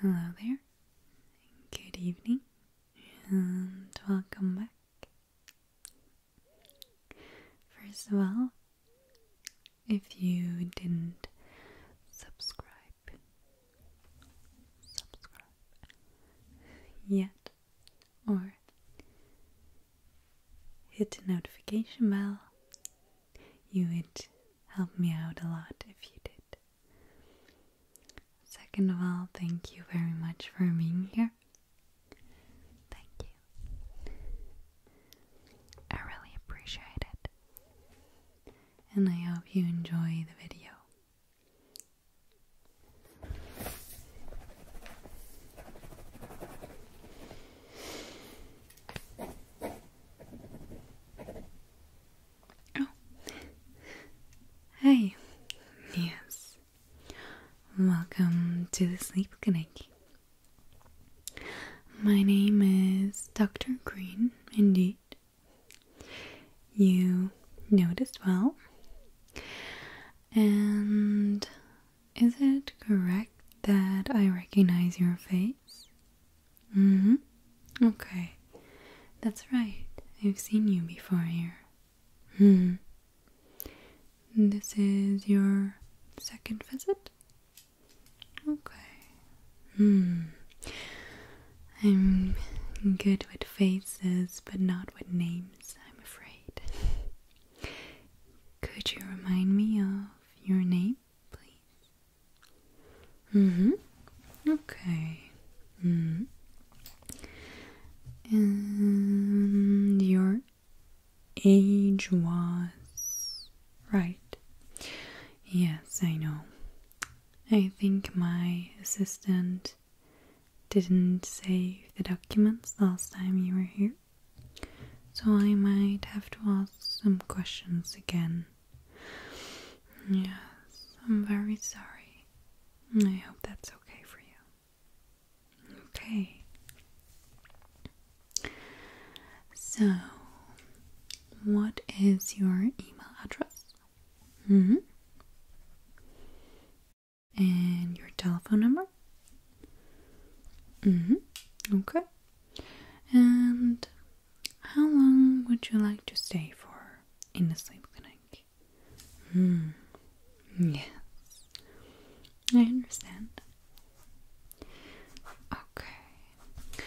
Hello there, good evening, and welcome back. First of all, if you didn't subscribe, subscribe yet, or hit the notification bell. You would help me out a lot if you did. Second of all, thank you very much for being here. Thank you. I really appreciate it. And I hope you enjoy the video. Oh. Hey. Yes. Welcome to the Sleep Clinic. My name is Dr. Green, indeed you noticed well. And is it correct that I recognize your face? hmm. Okay. That's right. I've seen you before here. Hmm. This is your second visit? Okay. Hmm. I'm good with faces, but not with names, I'm afraid. Could you remind me of your name, please? Mm hmm. Okay. Mm hmm. And your age was. Right. Yes, I know. I think my assistant didn't save the documents last time you were here. So I might have to ask some questions again. Yes, I'm very sorry. I hope that's okay for you. Okay. So, what is your email address? Mm hmm. And your telephone number? Mm hmm. Okay. And how long would you like to stay for in the sleep clinic? Hmm. Yes. I understand. Okay.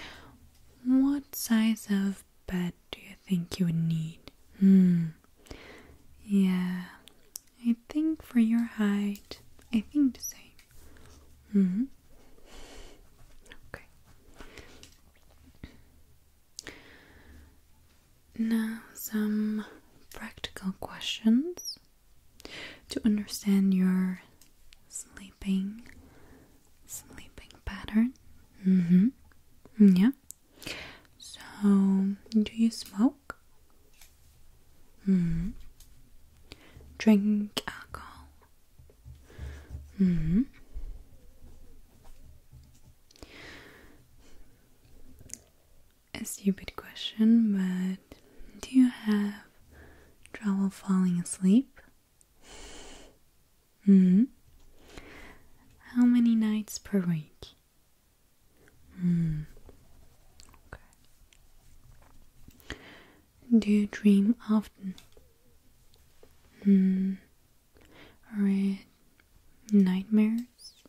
What size of but do you think you would need? Hmm. Yeah. I think for your height, I think the same. Mm-hmm. Okay. Now some practical questions to understand your sleeping sleeping pattern. Mm-hmm. Mm, yeah. So, do you smoke? Mm-hmm. Drink alcohol? Mm-hmm. A stupid question, but do you have trouble falling asleep? hmm. How many nights per week? Hmm. Okay. Do you dream often? Hmm. Are it nightmares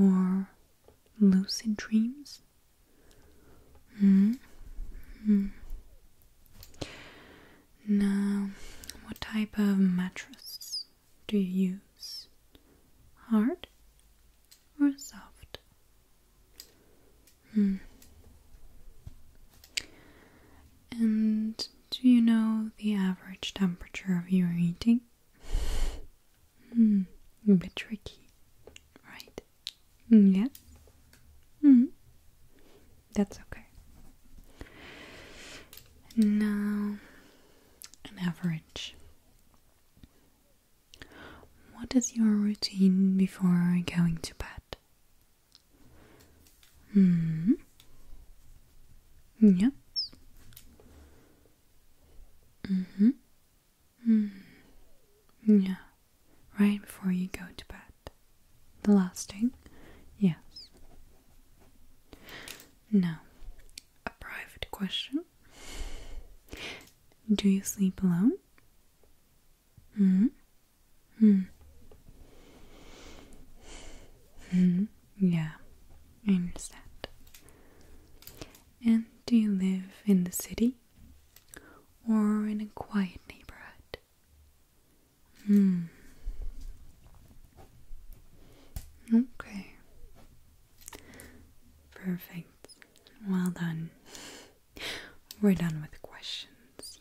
or lucid dreams? Hmm. Mm. mm. Now, what type of mattress do you use? Hard or soft? Hmm. And do you know the average temperature of your heating? Hmm, a bit tricky, right? Yes. Mm. Hmm. That's okay. And now, an average. What is your routine before going to bed? Hmm. Yes. Mm-hmm. Mm. Yeah. Right before you go to bed. The last string? Yes. Now, a private question. Do you sleep alone? Hmm? Hmm. Hmm. Yeah, I understand. And do you live in the city or in a quiet neighborhood? Hmm. Okay. Perfect. Well done. We're done with questions.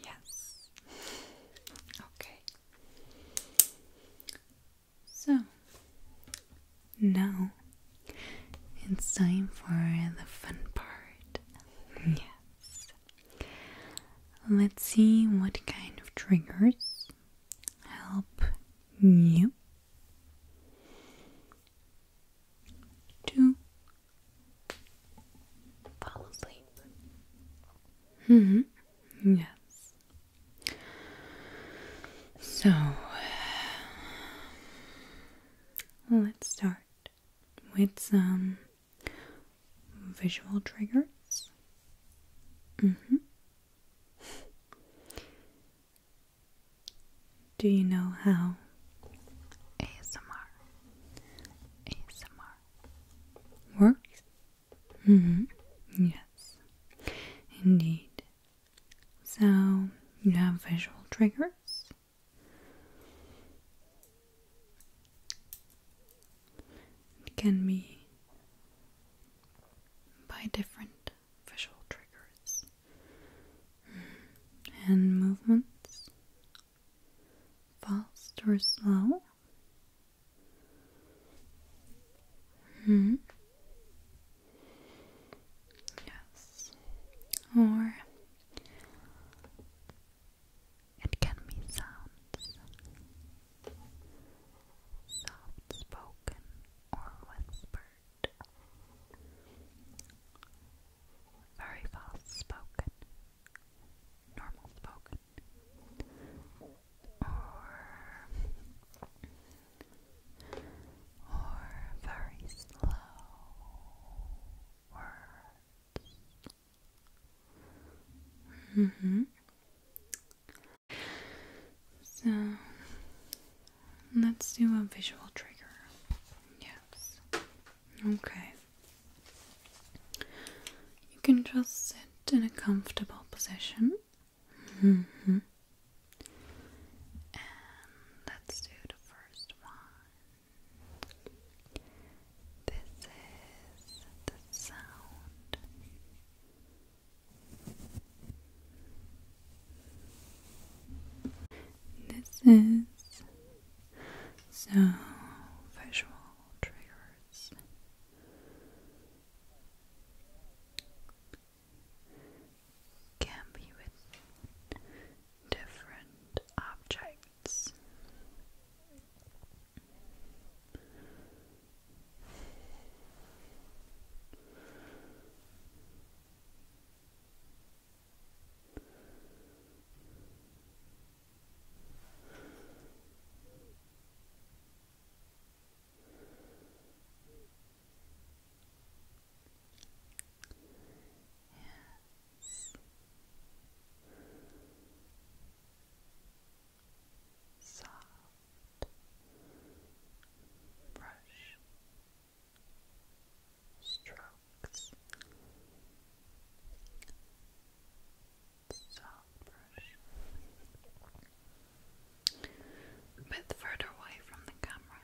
Yes. Okay. So, now it's time for the fun part. Yes. Let's see what kind of triggers help you to fall asleep. hmm. Yes. So let's start with some visual triggers. Mm -hmm. Do you know how ASMR works? Mm hmm Yes, indeed. So you have visual triggers. It can be by different visual triggers mm. and movements, fast or slow. Mm-hmm. Yes, or it can be sounds, soft spoken or whispered, very fast spoken, normal spoken, or or very slow words Mm hmm. So let's do a visual trigger. Yes. Okay. You can just sit in a comfortable position. Mm hmm. And let's do the first one. This is the sound. This is so visual triggers. Can be with different objects. Yes. Soft brush strokes. Soft brush. A bit further away from the camera.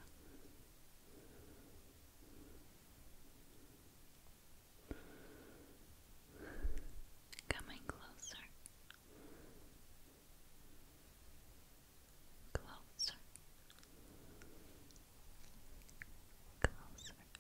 Coming closer, closer, closer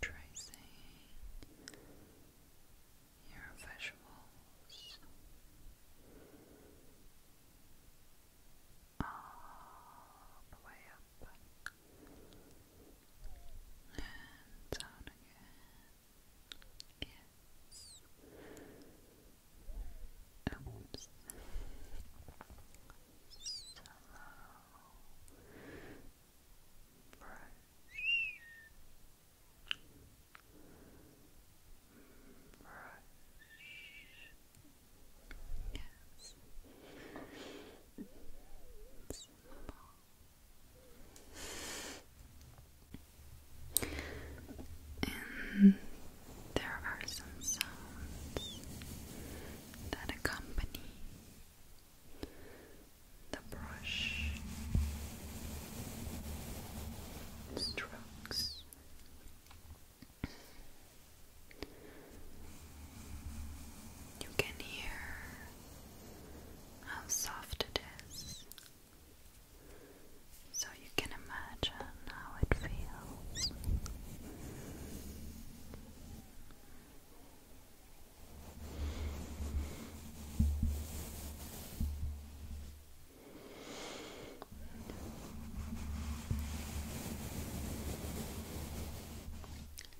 tracing your visuals all the way up and down again. Yes. Oops. Slow brush. Brush. Yes. And there are some sounds that accompany the brush strokes. You can hear how soft it is so you can imagine how it feels.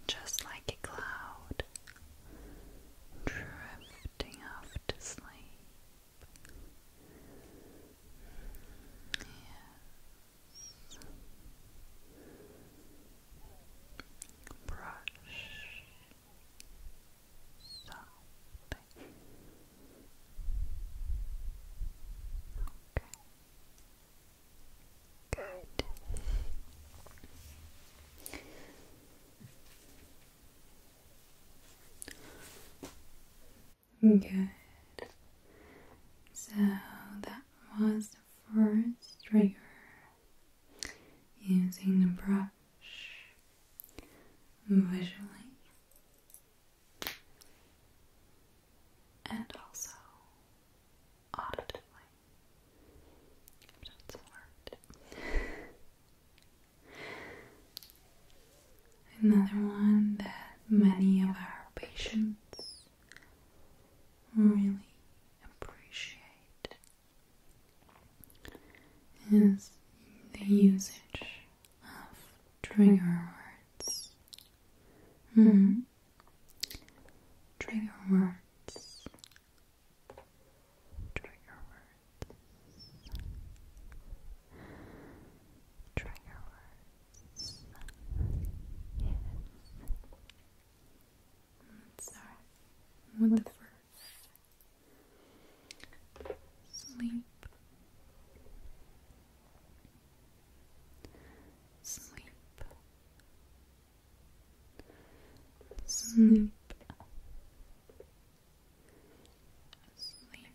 Just like a cloud drifting off to sleep. Yes. Brush. Something. Okay. Good. Good. So that was the first trigger using the brush visually and also auditively. But it's alert. Another one that many of our patients really appreciate is the usage of trigger words. Mm -hmm. Trigger words. Trigger Trigger words. Yes. Sorry. What the first? Sleep. Sleep. Sleep. Sleep.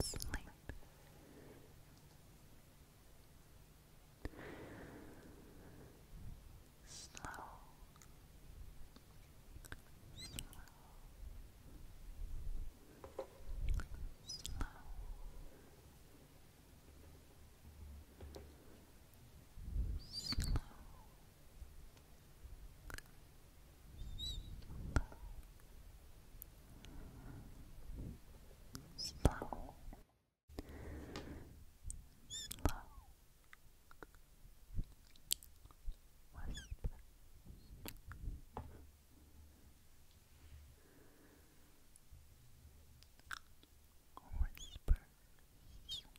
Sleep. Slow. Slow. Slow. Slow slow, slow, slow. Whisper. Whispers, whispers,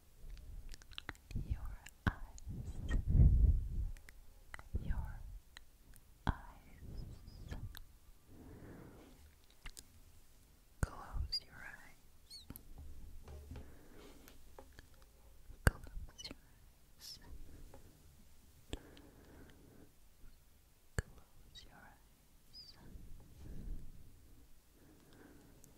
your eyes, your eyes. Close your eyes. Close your eyes. Close your eyes.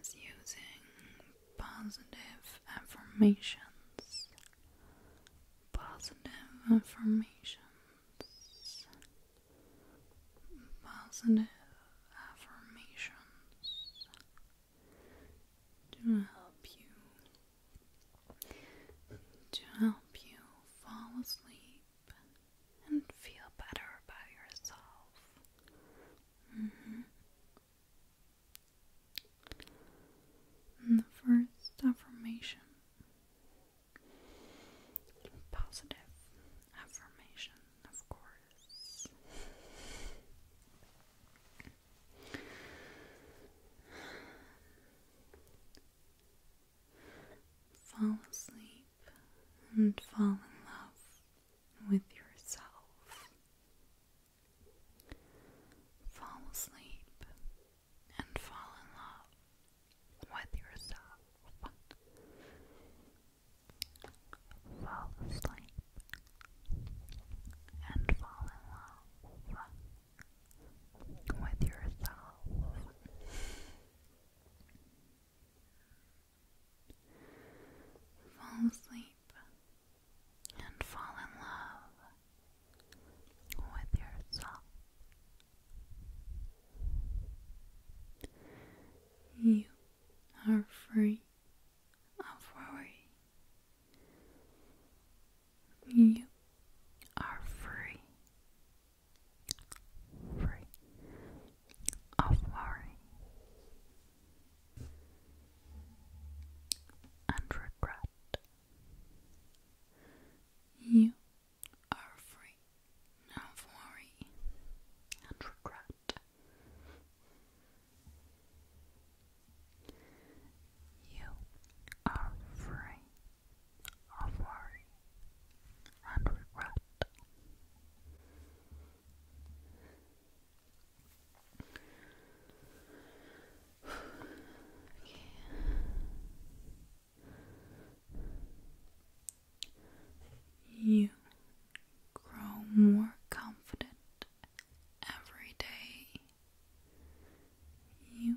is using positive affirmations. Positive affirmations. Positive affirmations to help you to help you fall asleep and feel better about yourself Mm-hmm. And the first affirmation positive affirmation, of course. Fall asleep and fall in love with yourself. Fall asleep and fall in love with yourself. Fall asleep and fall in love with yourself. Fall asleep and fall in love with yourself. You are free of worry. You are free. Free of worry and regret. You are free of worry and regret. You are free of worry and regret. You grow more confident every day. You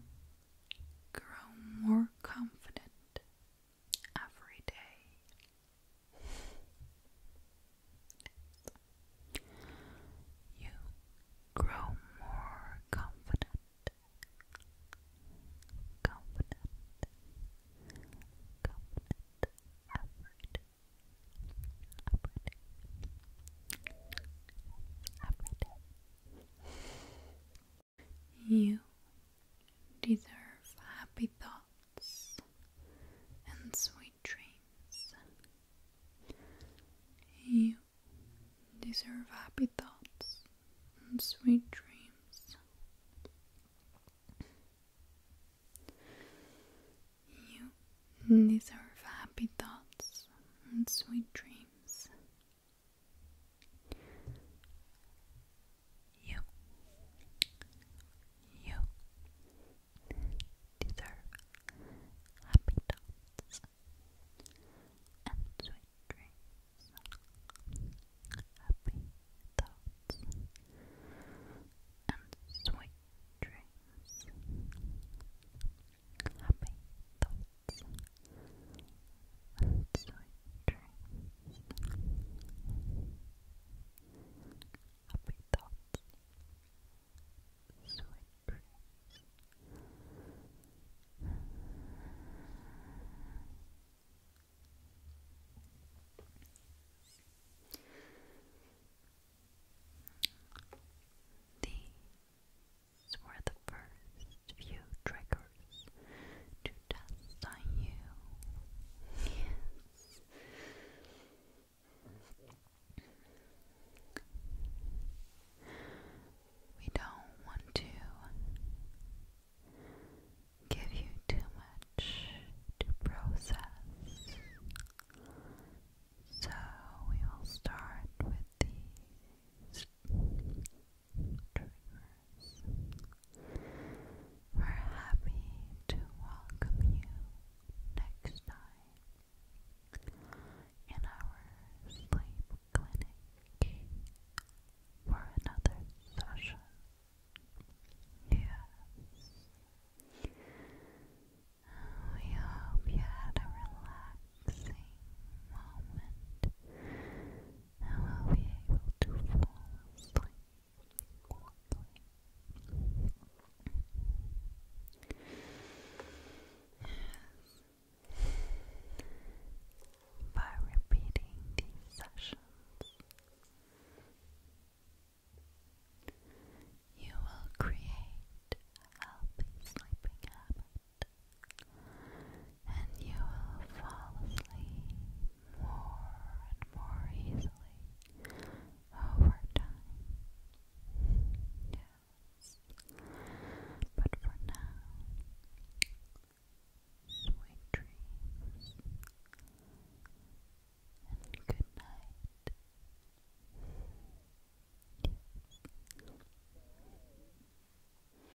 grow more confident every day. You grow more confident, confident, confident every day. Every day. Every day. You deserve happy thoughts and sweet dreams. You deserve happy thoughts and sweet dreams. You deserve happy thoughts and sweet dreams. You, you deserve happy thoughts and sweet dreams. Happy thoughts and sweet dreams. Happy thoughts and sweet dreams, happy These were the first few triggers to just on you. Yes. We don't want to give you too much to process. So we will start with these dreamers. We're happy to welcome you next time in our sleep clinic for another session. Yes. We hope you had a relaxing moment and will be able to fall asleep Yes. By repeating these sessions, you will create healthy sleeping habits and you will fall asleep more and more easily over time. Yes, but for now, sweet dreams and good night.